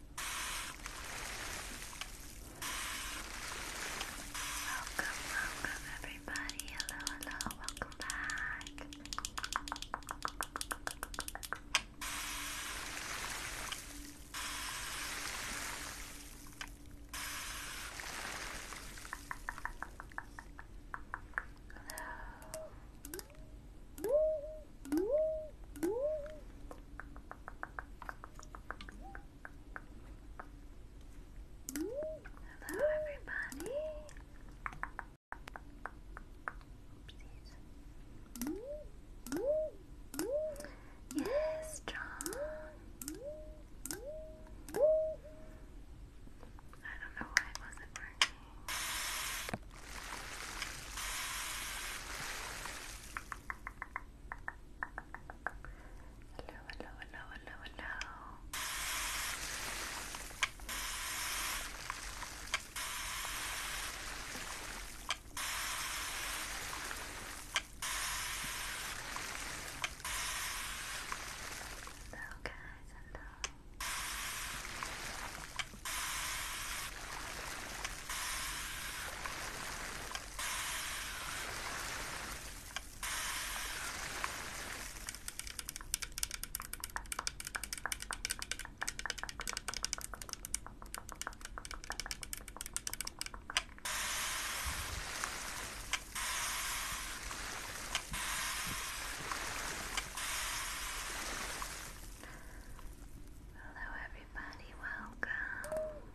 Welcome, welcome everybody. Hello, hello, welcome back. Hello, everybody. Yes, John. I don't know why it wasn't working. Hello, hello, hello, hello, hello. Hello, guys, hello. Hello, Hello, everybody, welcome.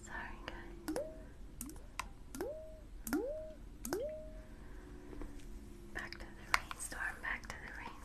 Sorry, guys. Back to the rainstorm, back to the rainstorm.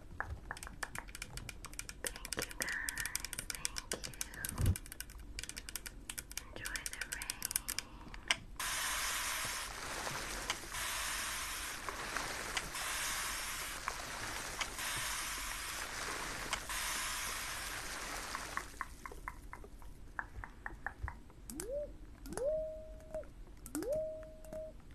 Thank you guys, thank you. Enjoy the rain.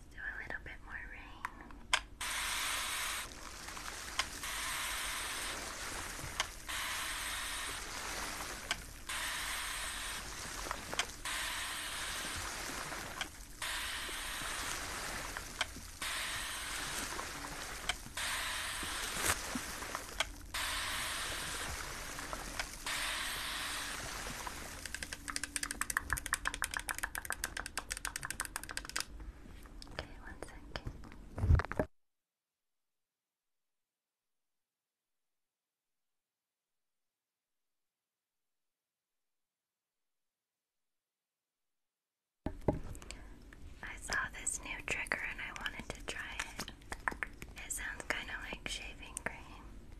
Let's do a little bit more rain. Okay, one second. I saw this new trigger and I wanted to try it. It sounds kind of like shaving cream.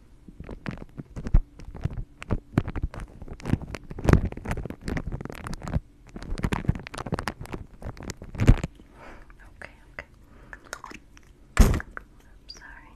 Okay, okay. I'm sorry.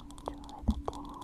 Enjoy the tingles.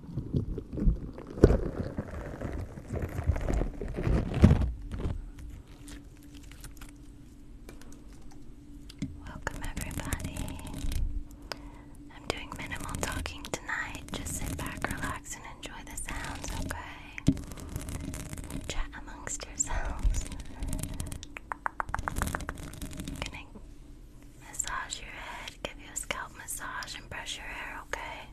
Welcome, everybody. I'm doing minimal talking tonight. Just sit back, relax, and enjoy the sounds, okay? Chat amongst yourselves. gonna massage your head, give you a scalp massage, and brush your hair, okay?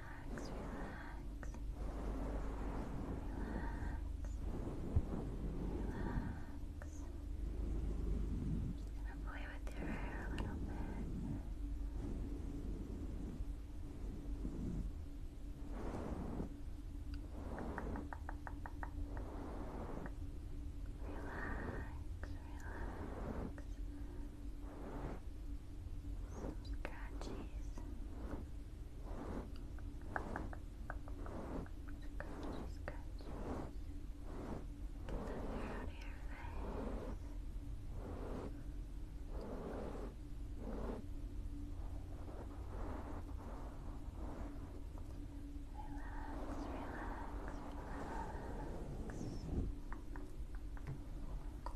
relax, relax, relax. i gonna play with your hair a little bit. Relax, relax. Scratchies. Scratchy, scratchy. Get out of your face. Relax, relax, relax.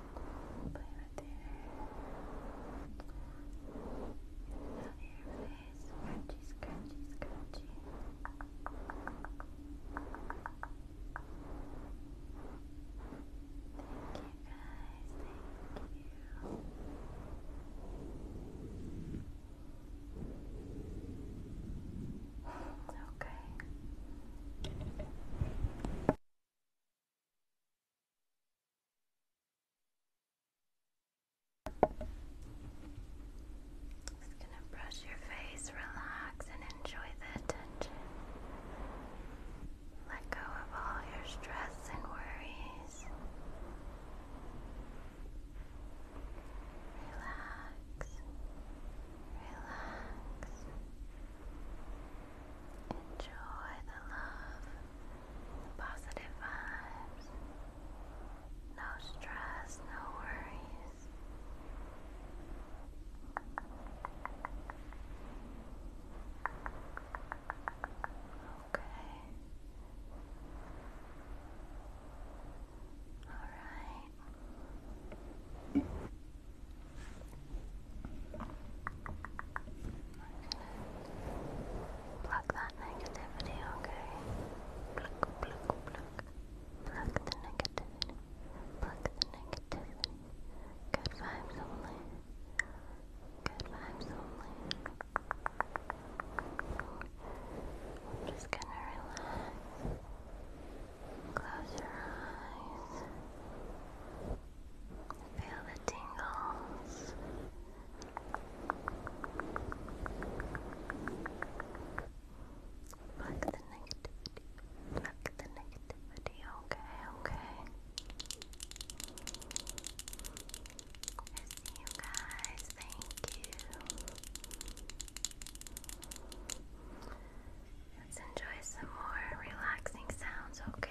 Play with your hair. your face. Scratchy, scratchy, scratchy. Thank you guys, thank you. Okay. Just gonna brush your face, relax, and enjoy the attention. Let go of all your stress and worries. Relax, relax. Enjoy the love positive vibes, no stress, no worries. Okay. All right. Pluck that negativity, okay? Pluck, pluck, pluck. Pluck the negativity. Pluck the negativity. Good vibes only. Good vibes only. I'm just gonna relax. Close your eyes. Feel the tingles. Pluck the negativity. Pluck the negativity. Okay, okay. I see you guys. Thank you. Let's enjoy some more relaxing sounds, okay?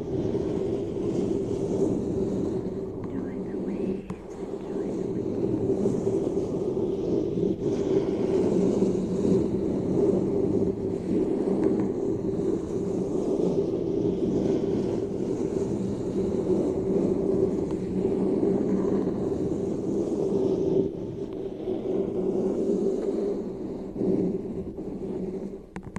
Enjoy the waves, enjoy the waves.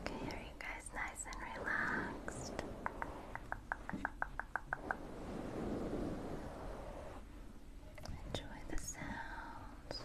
Okay, are you guys nice and relaxed? Enjoy the sounds.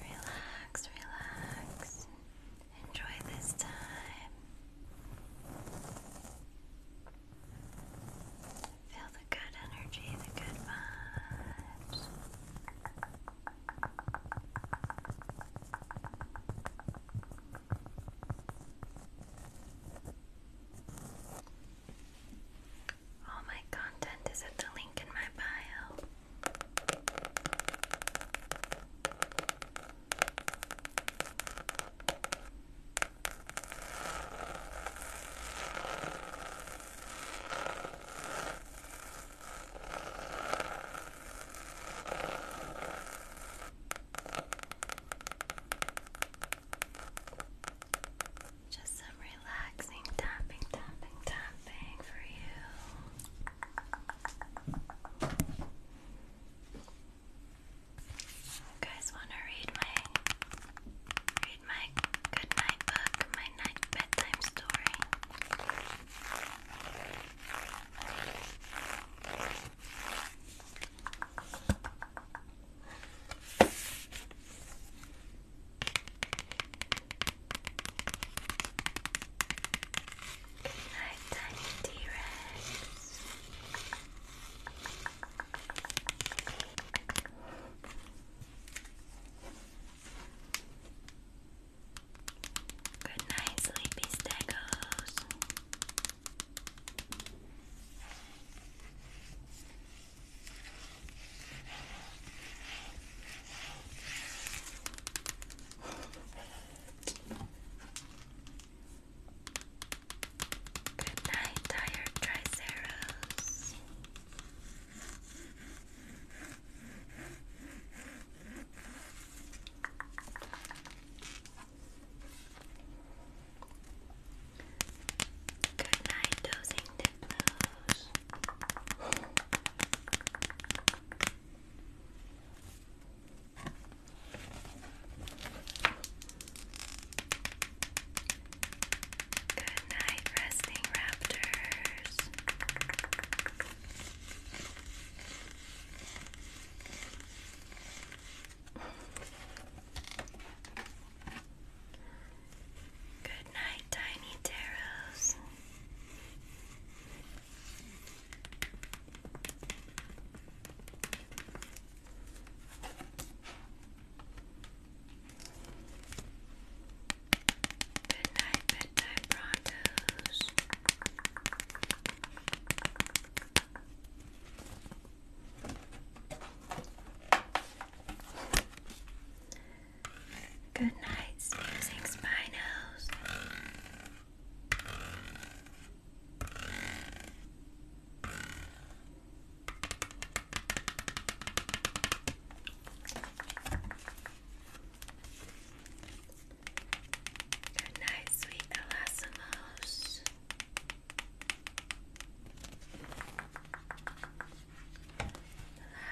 Relax, relax. Enjoy this time. Feel the good energy, the good vibes. All my content is at the link in my bio. Just some relaxing tapping, tapping, tapping for you. You guys want to read my read my good night book, my night bedtime story? Good night, tiny T-Rex. Good sleepy staggos. Good night, tired triceros. Good night, dozing Good night, resting raptors. Good night, Tiny Taros. Good night, bedtime prontos. Good night, sneezing spinos. Good night, sweet Elasmos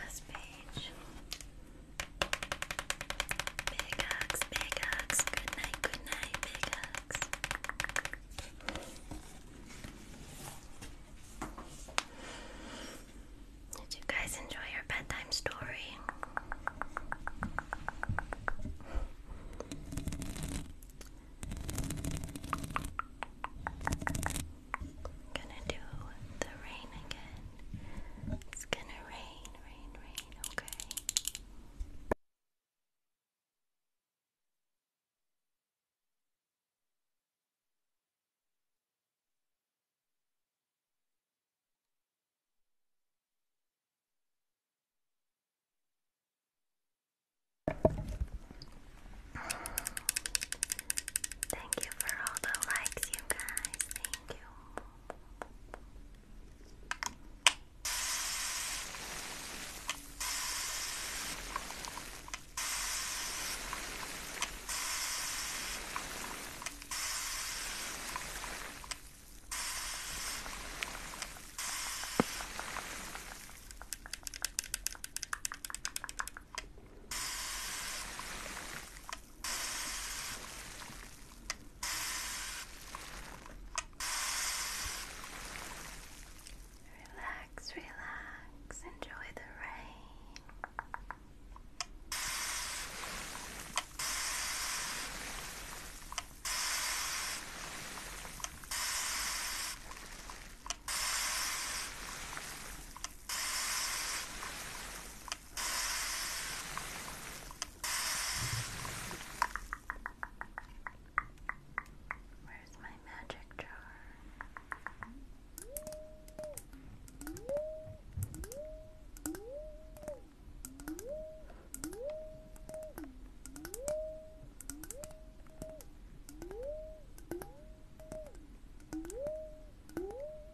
last page. Big hugs, big hugs. Good night, good night, big hugs. Did you guys enjoy your bedtime story? gonna do the rain again. It's gonna rain, rain, rain, okay? Thank you for all the likes, you guys. Thank you. Relax, relax, enjoy the rain. Where's my magic jar?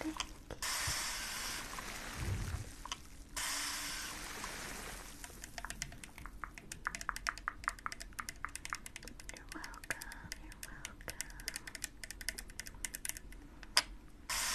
Thank you. You're welcome, you're welcome. Thank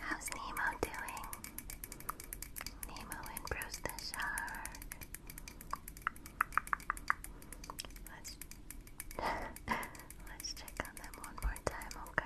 How's Nemo doing? Nemo and Bruce the shark. Let's Let's check on them one more time, okay?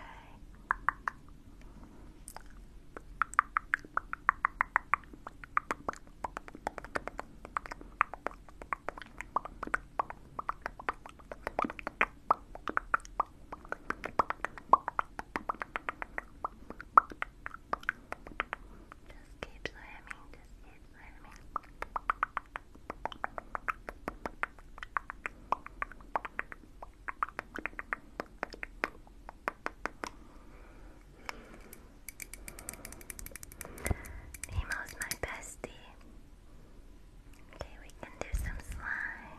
Just keep slamming, just keep slamming. Nemo's my bestie. Okay, we can do some slime.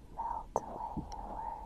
melt away your worries.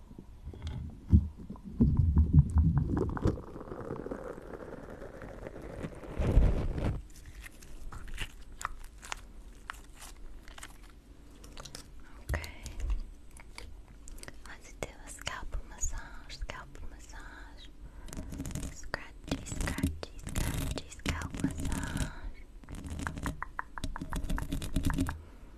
Okay. Let's do a scalp massage, scalp massage. Scratchy, scratchy, scratchy, scalp massage.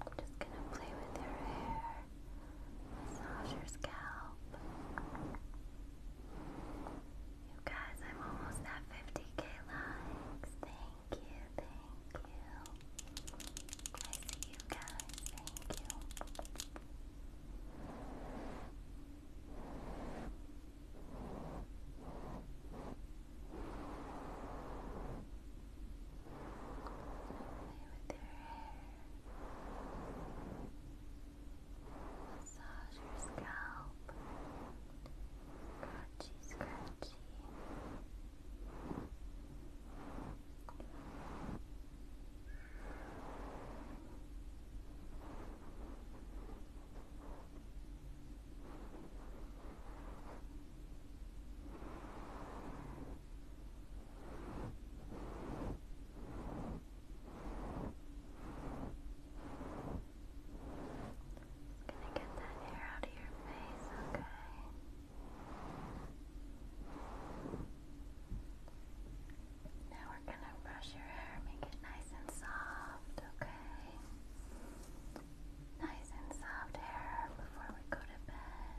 I'm just gonna play with your hair, massage your scalp. You guys, I'm almost at 50k likes. Thank you, thank you. I see you guys, thank you with your hair. Massage your scalp. Scratchy, scratchy. Gonna get that hair out of your face, okay? Now we're gonna brush your hair, make it nice and soft, okay? Nice and soft hair before we go to bed.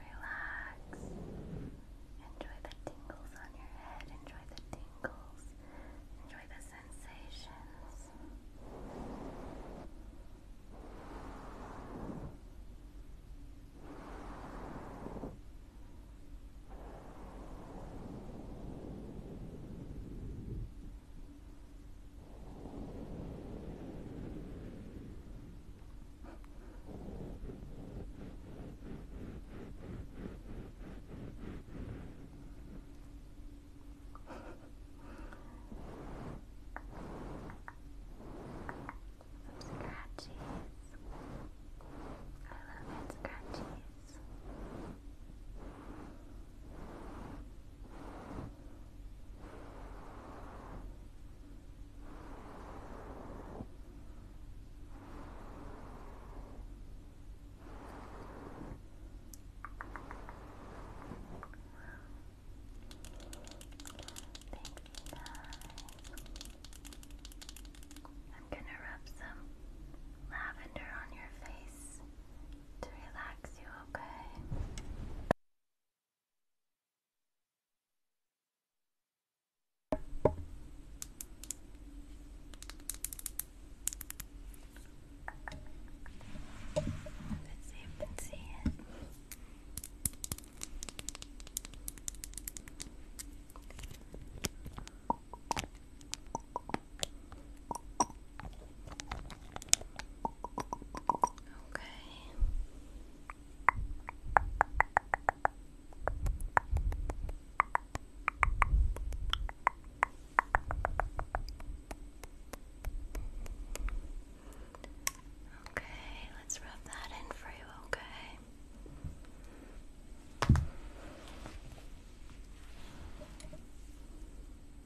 Relax. Enjoy the tingles on your head. Enjoy the tingles. Enjoy the sensations. Scratchies. I love it, scratchies. Scratchies. I'm going to rub some lavender on your face to relax you, okay? Let's see if you can see it. Okay. Okay, let's rub that in for you, okay?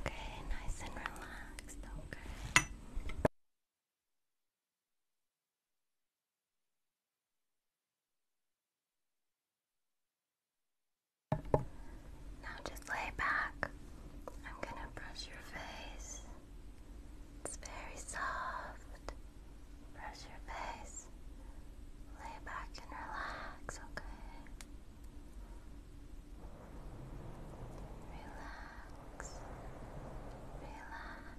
Okay, nice and relaxed. Okay. Now just lay back. I'm gonna brush your face. It's very soft. Brush your face lay back and relax, okay? Relax, relax.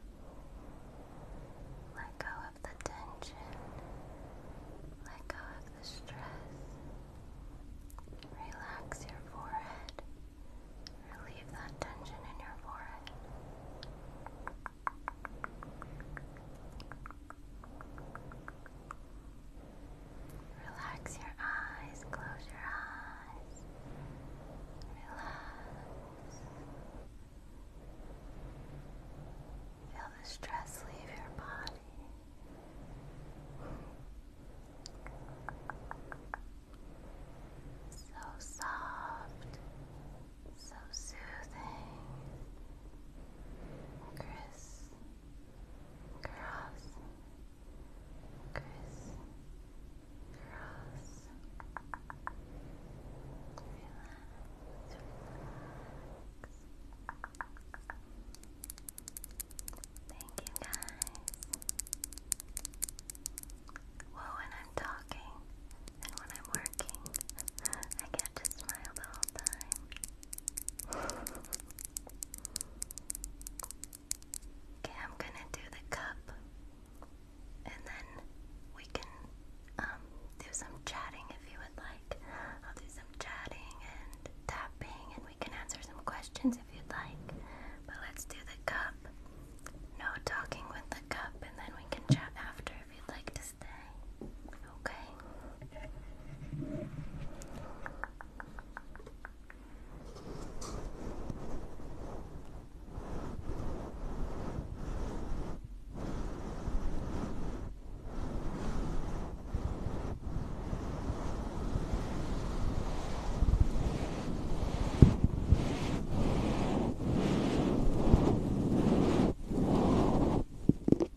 Let go of the tension, let go of the stress. Relax your forehead. Relieve that tension in your forehead. Relax your eyes, close your eyes. Relax. Feel the stress leave your body. So soft, so soothing, Chris, cross, Chris, cross, relax, relax. Thank you guys. Well, when I'm talking and when I'm working. I can't smile the whole time. okay, I'm gonna do the cup and then we can um, do some chatting if you would like. I'll do some chatting and tapping and we can answer some questions if you'd like. But let's do the cup. No talking with the cup and then we can chat after if you'd like to stay. Okay.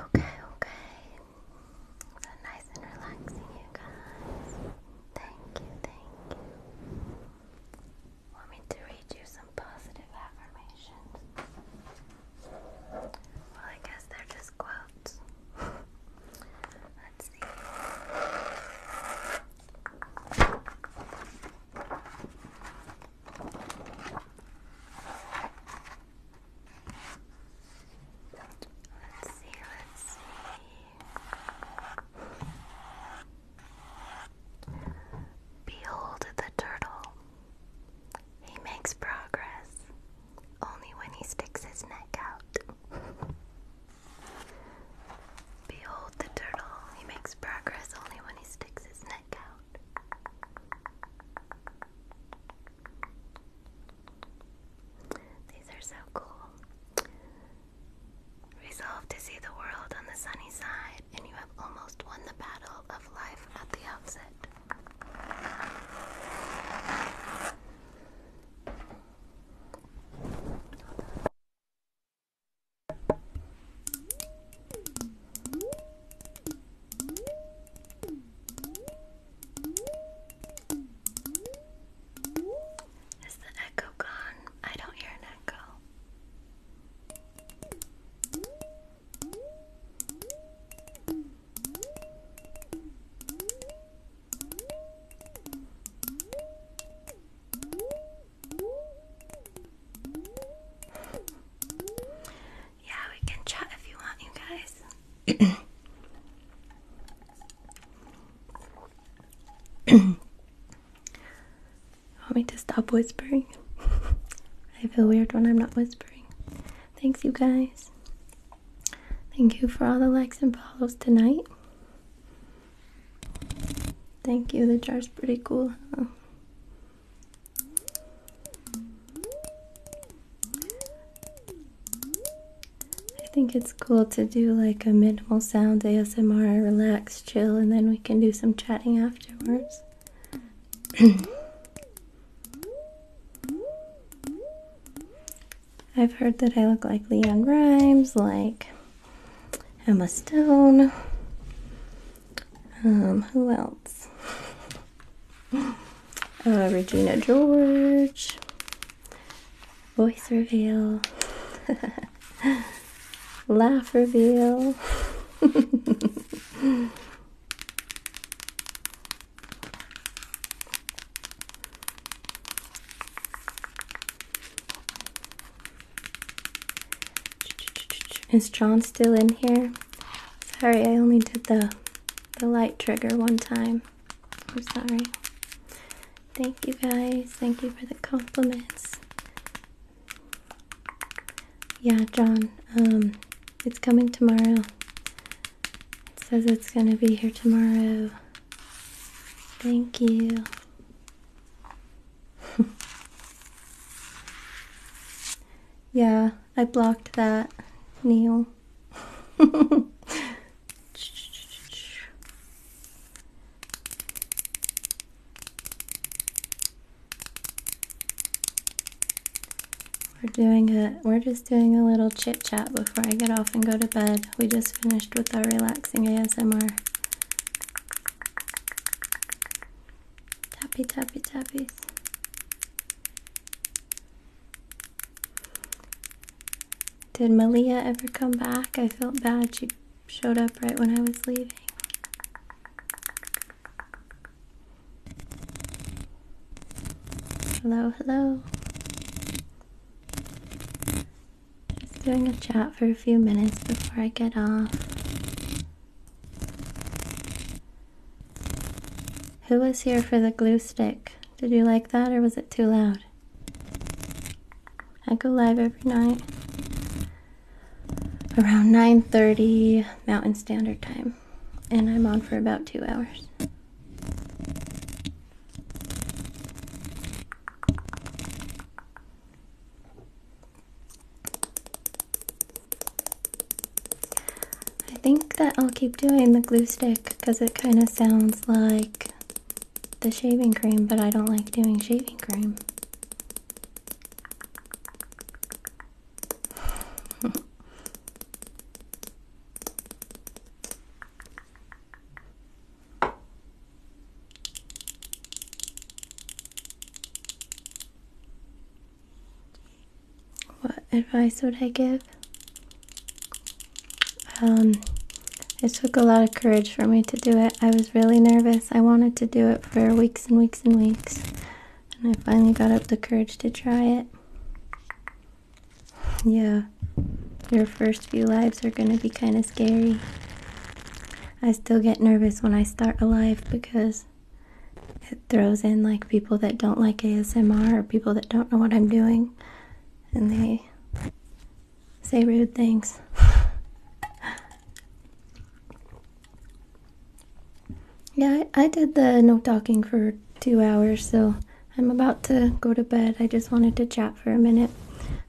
Okay, okay. So nice and relaxing, you guys. Thank you, thank you. Want me to read you some positive affirmations? Well, I guess they're just quotes. Let's see. Let's see, let's see. Behold the turtle. He makes progress only when he sticks his neck out. Behold the turtle. He makes progress only when he sticks his neck out. These are so cool. Resolved to see the world on the sunny side, and you have almost won the battle of life at the outset. Is the echo gone? I don't hear an echo. Yeah, we can chat if you want, you guys. Want me to stop whispering? I feel weird when I'm not whispering. Thanks, you guys. Thank you for all the likes and follows tonight. Thank you, the jar's pretty cool. I think it's cool to do like a minimal sound ASMR, relax, chill, and then we can do some chatting after afterwards. I've heard that I look like Leon Grimes, like Emma Stone. Um, who else? Uh, Regina George. Voice reveal. Laugh reveal. Is John still in here? Sorry, I only did the the light trigger one time. I'm sorry. Thank you guys. Thank you for the compliments. Yeah, John, um, it's coming tomorrow. It says it's gonna be here tomorrow. Thank you. yeah, I blocked that, Neil. We're doing a we're just doing a little chit chat before I get off and go to bed. We just finished with our relaxing ASMR. Tappy tappy tappies. Did Malia ever come back? I felt bad. She showed up right when I was leaving. Hello, hello. Just doing a chat for a few minutes before I get off. Who was here for the glue stick? Did you like that or was it too loud? I go live every night around 9:30 Mountain Standard Time, and I'm on for about two hours. I think that I'll keep doing the glue stick because it kind of sounds like the shaving cream, but I don't like doing shaving cream what advice would I give? Um, it took a lot of courage for me to do it. I was really nervous. I wanted to do it for a week and weeks and weeks, and I finally got up the courage to try it. Yeah, your first few lives are gonna be kind of scary. I still get nervous when I start a live because it throws in like people that don't like ASMR or people that don't know what I'm doing and they say rude things. Yeah, I, did the no talking for two hours, so I'm about to go to bed. I just wanted to chat for a minute,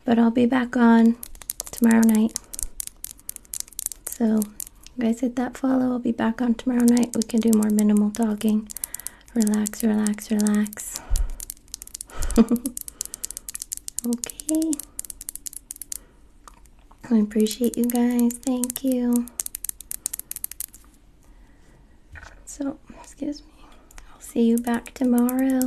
but I'll be back on tomorrow night. So, guys hit that follow. I'll be back on tomorrow night. We can do more minimal talking. Relax, relax, relax. okay. I appreciate you guys. Thank you. So, excuse me. I'll see you back tomorrow.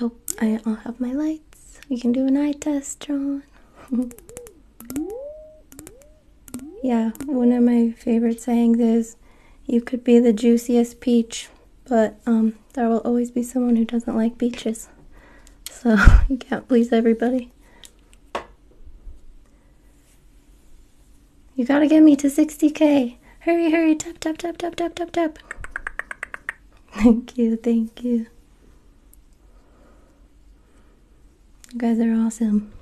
Oh, I, I'll have my lights. We can do an eye test, John. yeah, one of my favorite sayings is you could be the juiciest peach, but um, there will always be someone who doesn't like beaches. So you can't please everybody. You gotta get me to 60k. Hurry, hurry, tap, tap, tap, tap, tap, tap, tap. Thank you, thank you. You guys are awesome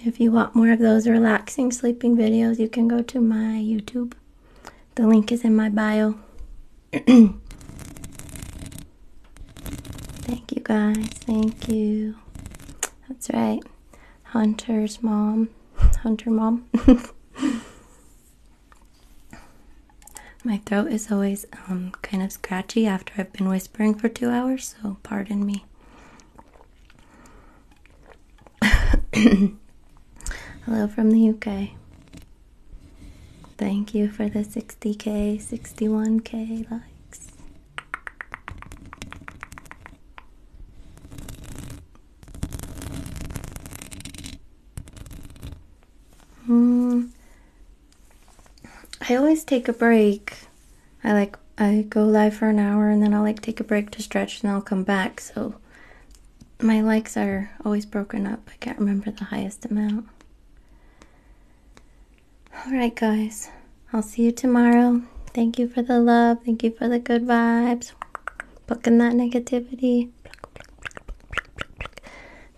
if you want more of those relaxing sleeping videos, you can go to my YouTube. The link is in my bio. Thank you guys. Thank you. That's right. Hunter's mom. Hunter mom. My throat is always um, kind of scratchy after I've been whispering for two hours, so pardon me. Hello from the UK. Thank you for the 60k, 61k likes. Hmm. I always take a break I like I go live for an hour and then I'll like take a break to stretch and I'll come back. So my likes are always broken up. I can't remember the highest amount. All right, guys. I'll see you tomorrow. Thank you for the love. Thank you for the good vibes. Plucking that negativity.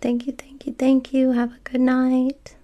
Thank you, thank you, thank you. Have a good night.